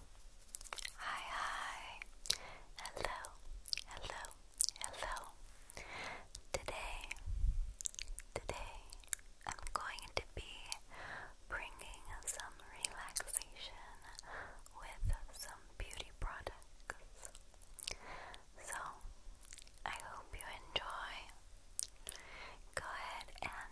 Hi, hi. Hello, hello, hello. Today, today, I'm going to be bringing some relaxation with some beauty products. So, I hope you enjoy. Go ahead and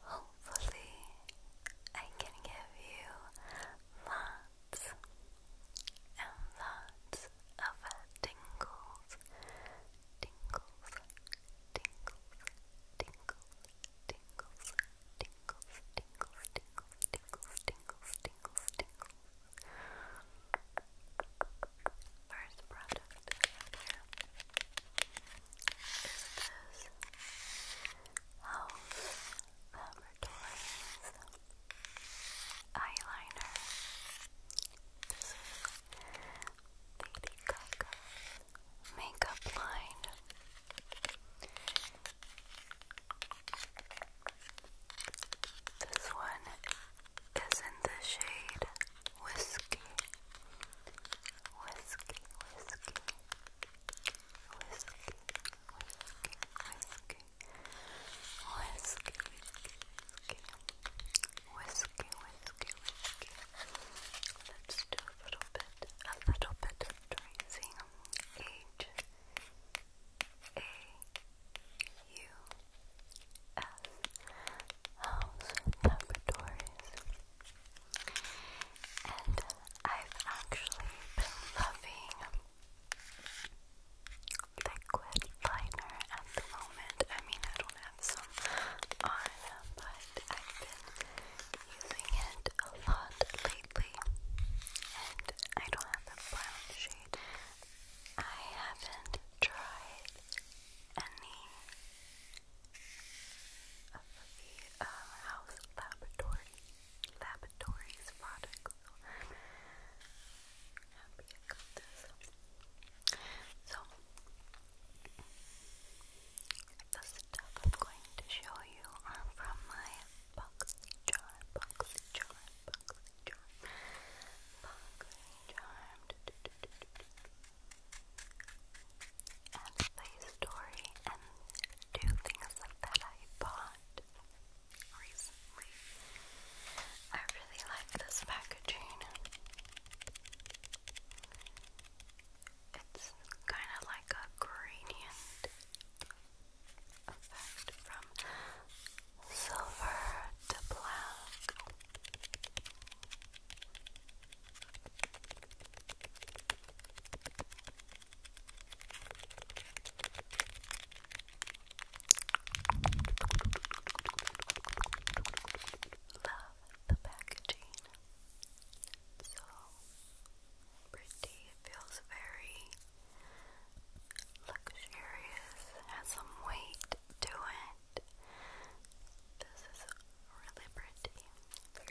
Hopefully, I can give you lots and lots of tingles, tingles, tingles, tingles, tingles, tingles, tingles, tingles, tingles, tingles, tingles, tingles. First product is this House Laboratories eyeliner. This is Lady makeup line. This one is in the shade Whiskey Whiskey, whiskey, whiskey, whiskey, whiskey, whiskey, whiskey, whiskey, whiskey. Let's do a little bit, a little bit of tracing. H A U S House Laboratories and I've actually been loving liquid liner at the moment. I mean, I don't have some on, but I've been using it a lot lately, and I don't have the brown shade. I haven't tried any of the uh, House Laboratory Laboratories products. happy I got this. So the stuff I'm going to show you are from my box charm, box charm, and play a story and do things that I bought recently. I really like this packaging. It's kind of like a gradient effect from silver to black. Love the packaging. So pretty. It feels very luxurious. Has some weight to it. This is really pretty.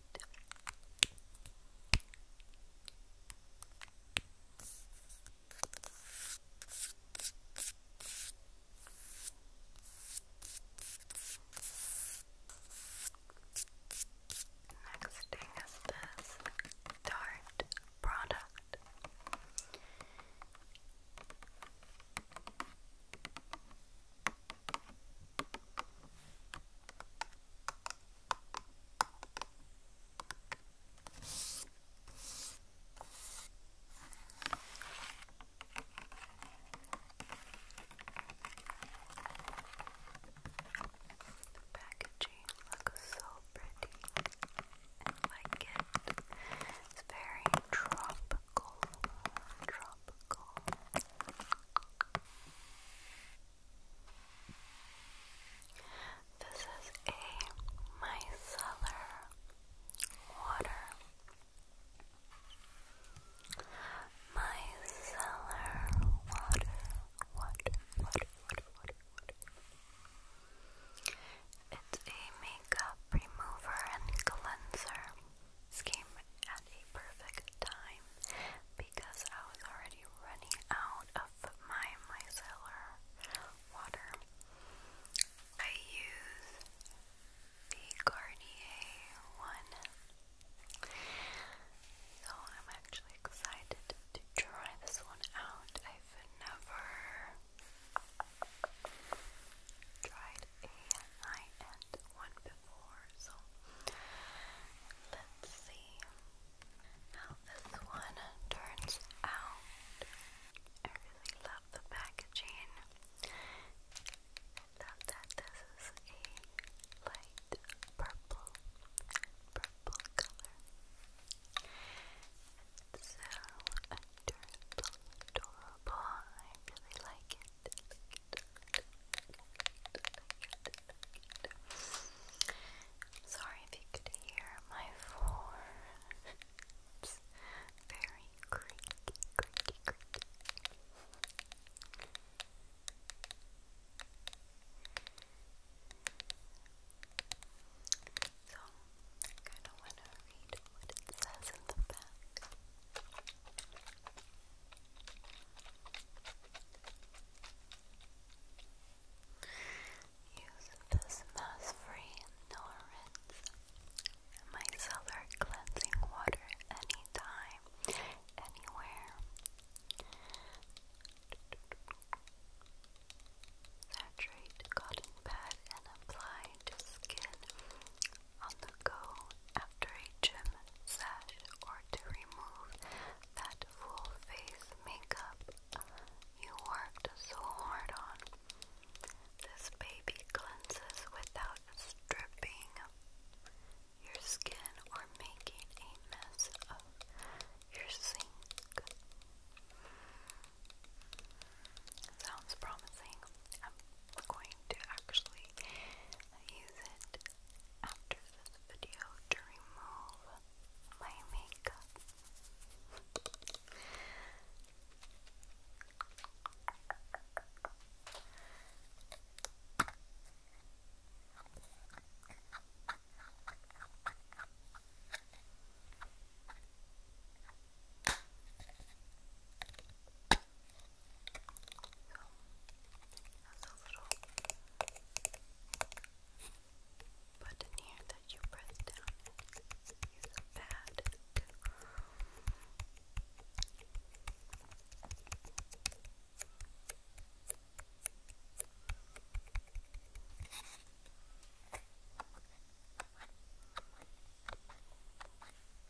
Next thing is this Tarte product. The packaging looks so pretty. I like it. It's very tropical tropical. This is a micellar water. Micellar water, water, water, water, water, water. It's a makeup remover and cleanser. This came at a perfect time because I was already running out of my micellar water. I use the Garnier one. So I'm actually excited to try this one out. I've never tried a high one before, so let's see how this one turns out. I really love the packaging. that this is a light purple, purple color. so adorable, adorable. I really Like it. Sorry if you could hear my phone. very creaky, creaky, creaky. So, kind of want to read what it says in the back. Use this mass-free Norins micellar cleansing water anytime, anywhere. Saturate cotton pad and apply to skin on the go after a gym sesh or to remove that full face makeup you worked so hard on. This baby cleanses without stripping your skin or making a mess of your sink. Sounds promising. I'm going to actually I use it after this video to remove my makeup. I there's a little button here that you press down and use a pad to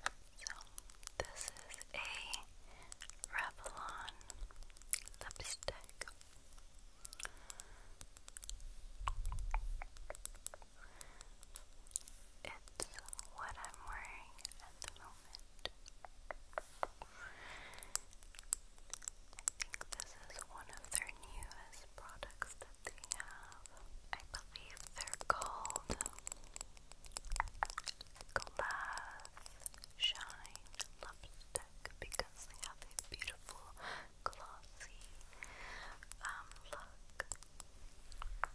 Okay. So, this is a Revlon lipstick. It's what I'm wearing at the moment. I think this is one of their newest products that they have. I believe they're called glass shine lipstick because they have a beautiful glossy um, look. I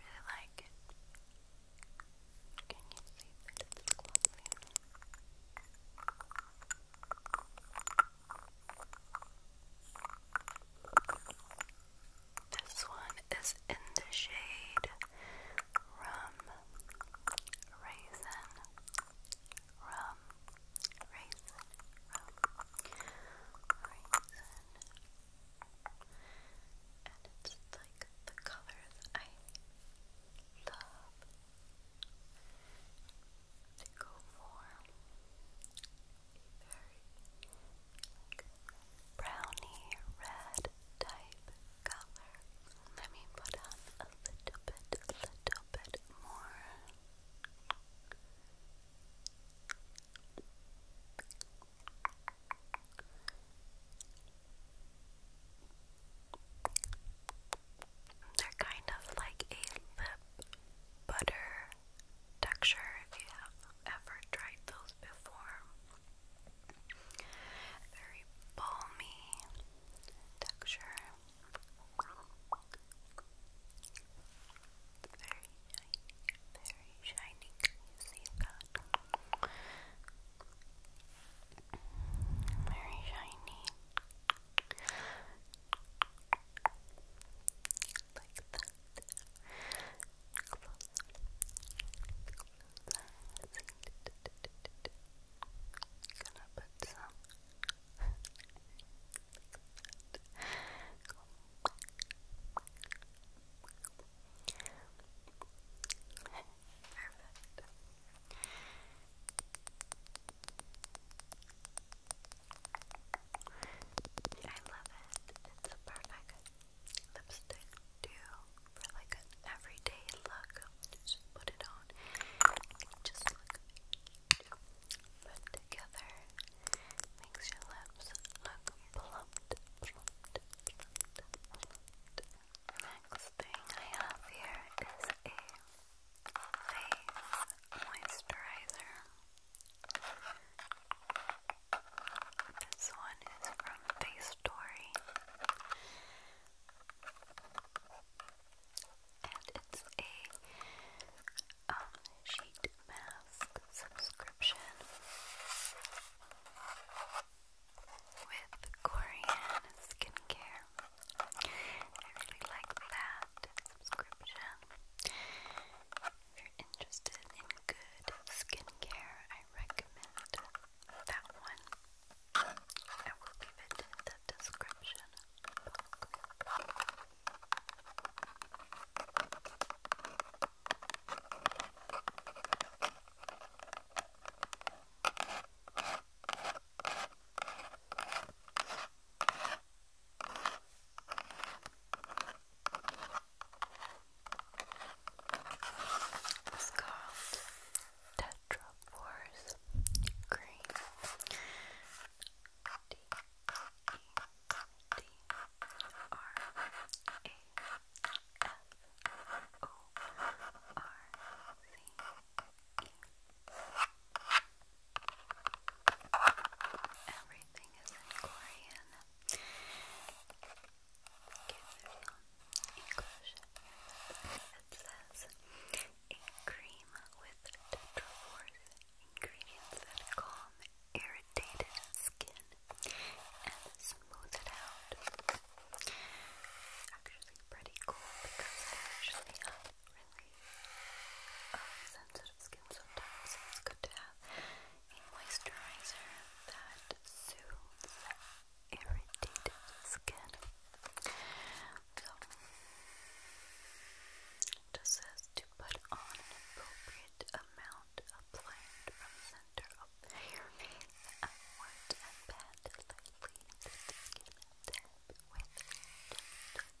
really like it. Can you see that it's this one is in the shade Rum Raisin. Rum Raisin. Raisin. And it's like the colors I love to go for a very like brownie red type color. Let me put on a little bit, a little bit more. They're kind of like a lip butter texture if you have ever tried those before. Very balmy texture. very shiny, very shiny. you see that? Very shiny. Like that. Close. Close. Gonna put some Perfect. I love it. It's a perfect lipstick too for like everyday look. Just put it on. Just look put together. Makes your lips look plumped. Next thing I have here is a face moisturizer. This one is from Face and it's a um, sheet mask subscription with Korean skincare. I really like that. If you're interested in good skincare, I recommend that one. I will leave it in the description it's called Green. D E D R A F O R C E. Everything is in Korean. Okay, English. It says cream with tetraforce ingredients that calm irritated skin and smooth it out. actually pretty cool because I actually really um, sensitive skin sometimes, it's good to have a moisturizer that soothes irritated skin. So, it just says to put on appropriate amount applied from center of hair base and pat lightly into the skin. Tap with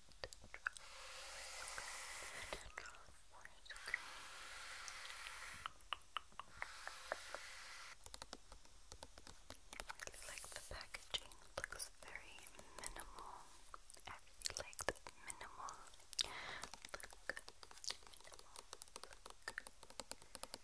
natural forest green. I like the packaging, looks very minimal. I really like the minimal look. Minimal look. I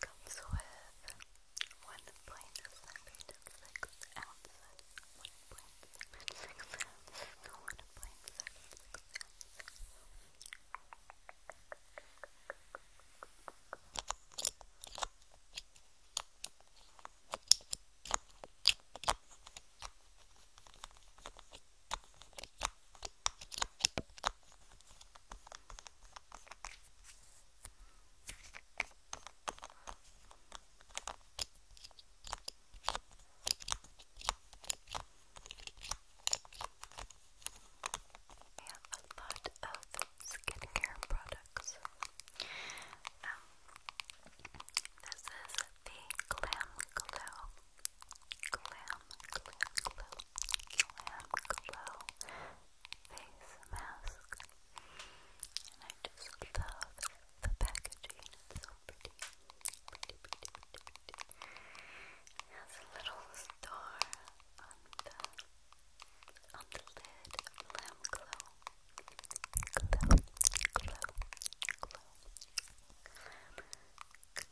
comes with one point seven six ounces. One point seven six ounces. No, one point seven six have a lot of skincare products. Um, this is the Glam Glow Glam Glam Glow Glam Glow Face Mask and I just love the packaging, it's so pretty pretty, pretty, pretty, pretty it has a little star on the on the lid Glam Glow Glow, Glow, Glow Glam Berry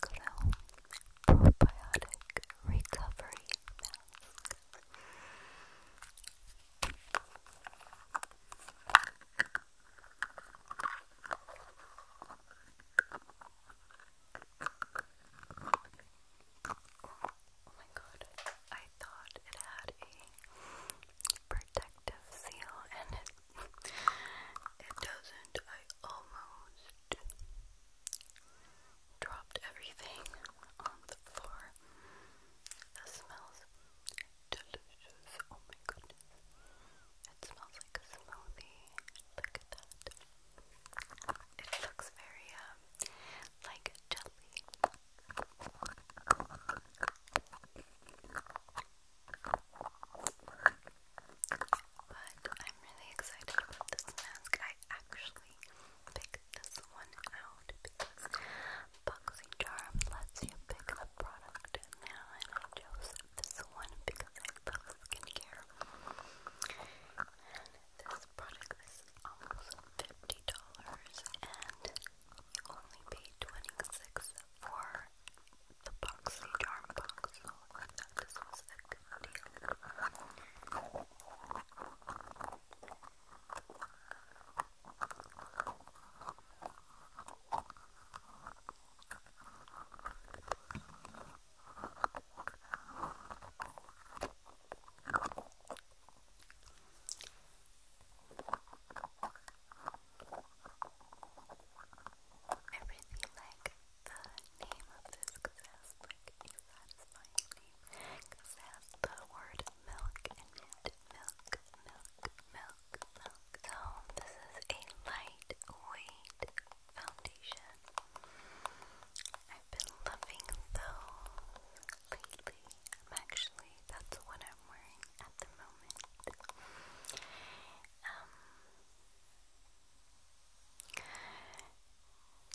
Glow Probiotic Recovery Mask. Oh my god, I thought it had a protective seal and it it doesn't. I almost dropped everything on the floor. That smells delicious. Oh my goodness. It smells like a smoothie. Look at that. It looks very um like jelly. But I'm really excited about this mask. I actually picked this one out because BoxyCharm lets you pick a product now, and I chose this one because I love skincare. And this product is almost $50, and you only paid twenty six for the box, the charm box, so I thought this was a good deal. I really like the name of this because it a satisfying name because the word milk in Milk, milk, milk, milk. So oh, this is a lightweight foundation. I've been loving those lately. actually, that's what I'm wearing at the moment. Um,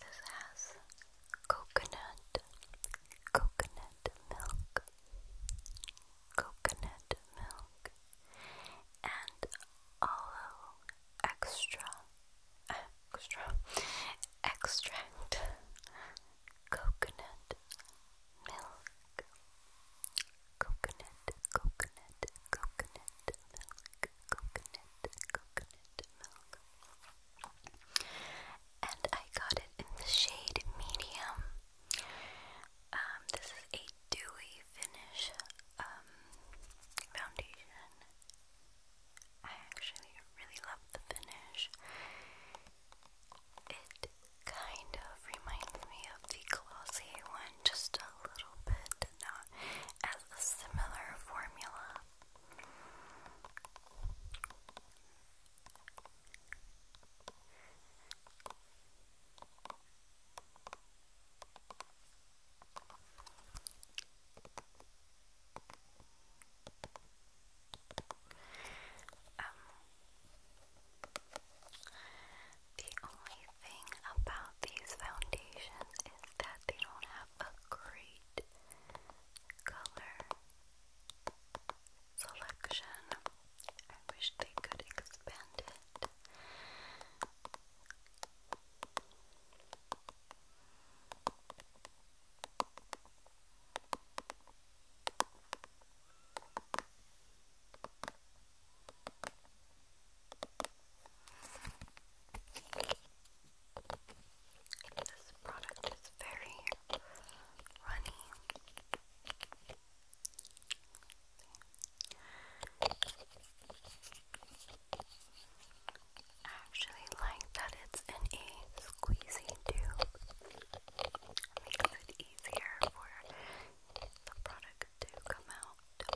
this has coconut, coconut milk, coconut milk, and aloe extra, extra, extract coconut milk, coconut, coconut, coconut milk, coconut, coconut milk. And I got it in the shade medium. Um, this is a dewy finish um, foundation. I actually really love the finish. It kind of reminds me of the Glossier one just a little bit, not as a similar formula. Um, the only thing about these foundations is that they don't have a great color selection. I wish they could expand it. This product is very runny. actually like that it's in a squeezy tube makes it easier for the product to come out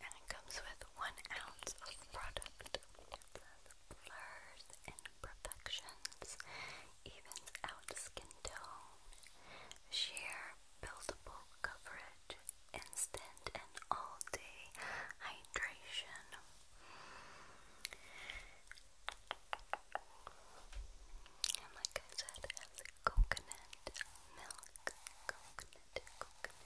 and it comes with one ounce of product. It blurs imperfections, evens out skin tone, sheer buildable coverage, instant and all-day hydration. And like I said, coconut milk, coconut, coconut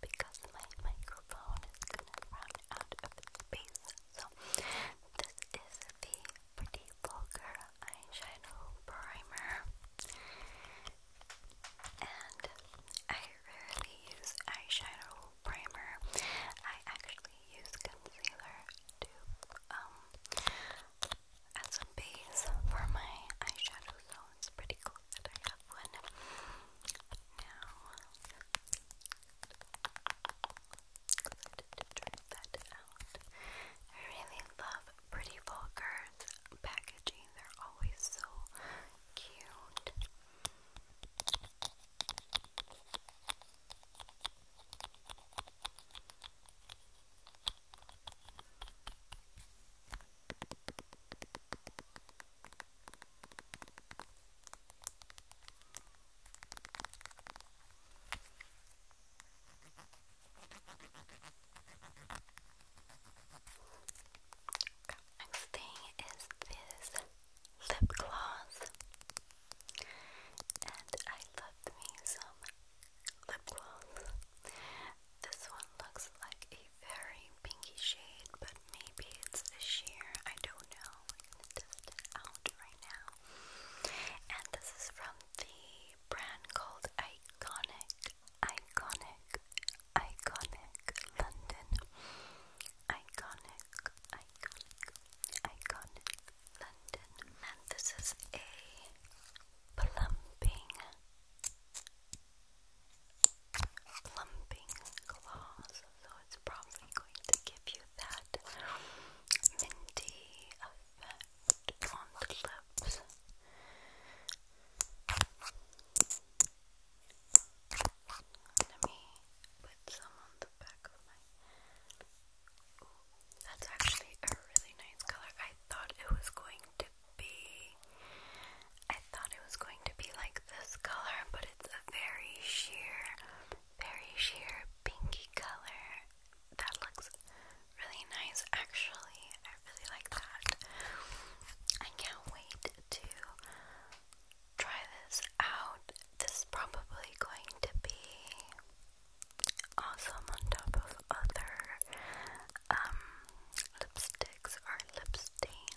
because my microphone is gonna run out of space. So this is the Pretty Vulgar Eyeshadow Primer. And I rarely use eyeshadow primer. I actually use concealer to um add base for my eyeshadow, so it's pretty cool that I have one. Now, I really love Pretty Vulgar's packaging, they're always so cute. Next thing is this lip gloss, and I love me some lip gloss. This one looks like very pinky shade, but maybe it's a sheer. I don't know. I'm out right now. And this is from the brand called Iconic, Iconic, Iconic London. Iconic, Iconic, Iconic London. And this is a plumping clumping claws, so it's probably going to give you that minty effect on the lips. Let me put some on the back of my. that's actually a really nice color. I thought it was going to be. I thought it was going to be like this color, but it's a very sheer, very sheer pinky color. That looks really nice, actually. I really like that. I can't wait to try this out. This is probably going to be awesome on top of other um, lipsticks or lip stain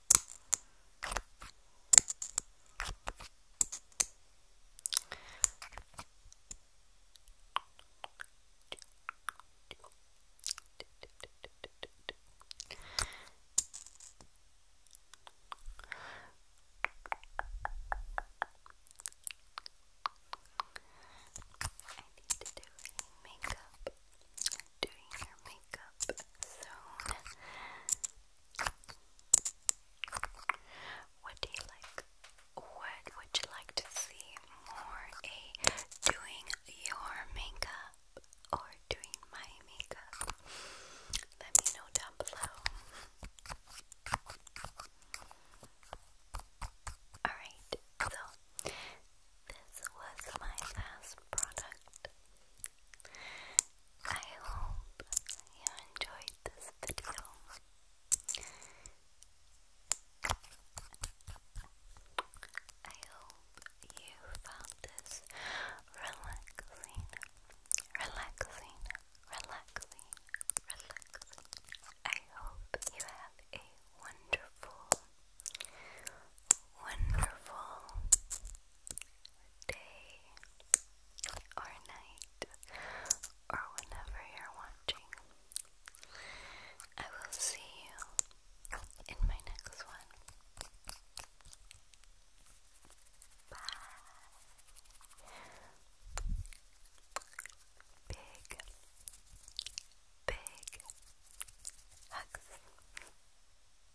need to do a makeup, doing your makeup zone what do you like? What would you like to see more? A doing your makeup or doing my makeup? Let me know down below. Alright, so this was my last product. I hope you enjoyed this video. I hope you found this relaxing, relaxing, relaxing, relaxing. I hope you have a wonderful, wonderful day or night or whenever you're watching. I will see you in my next one. Bye. Big, big hugs.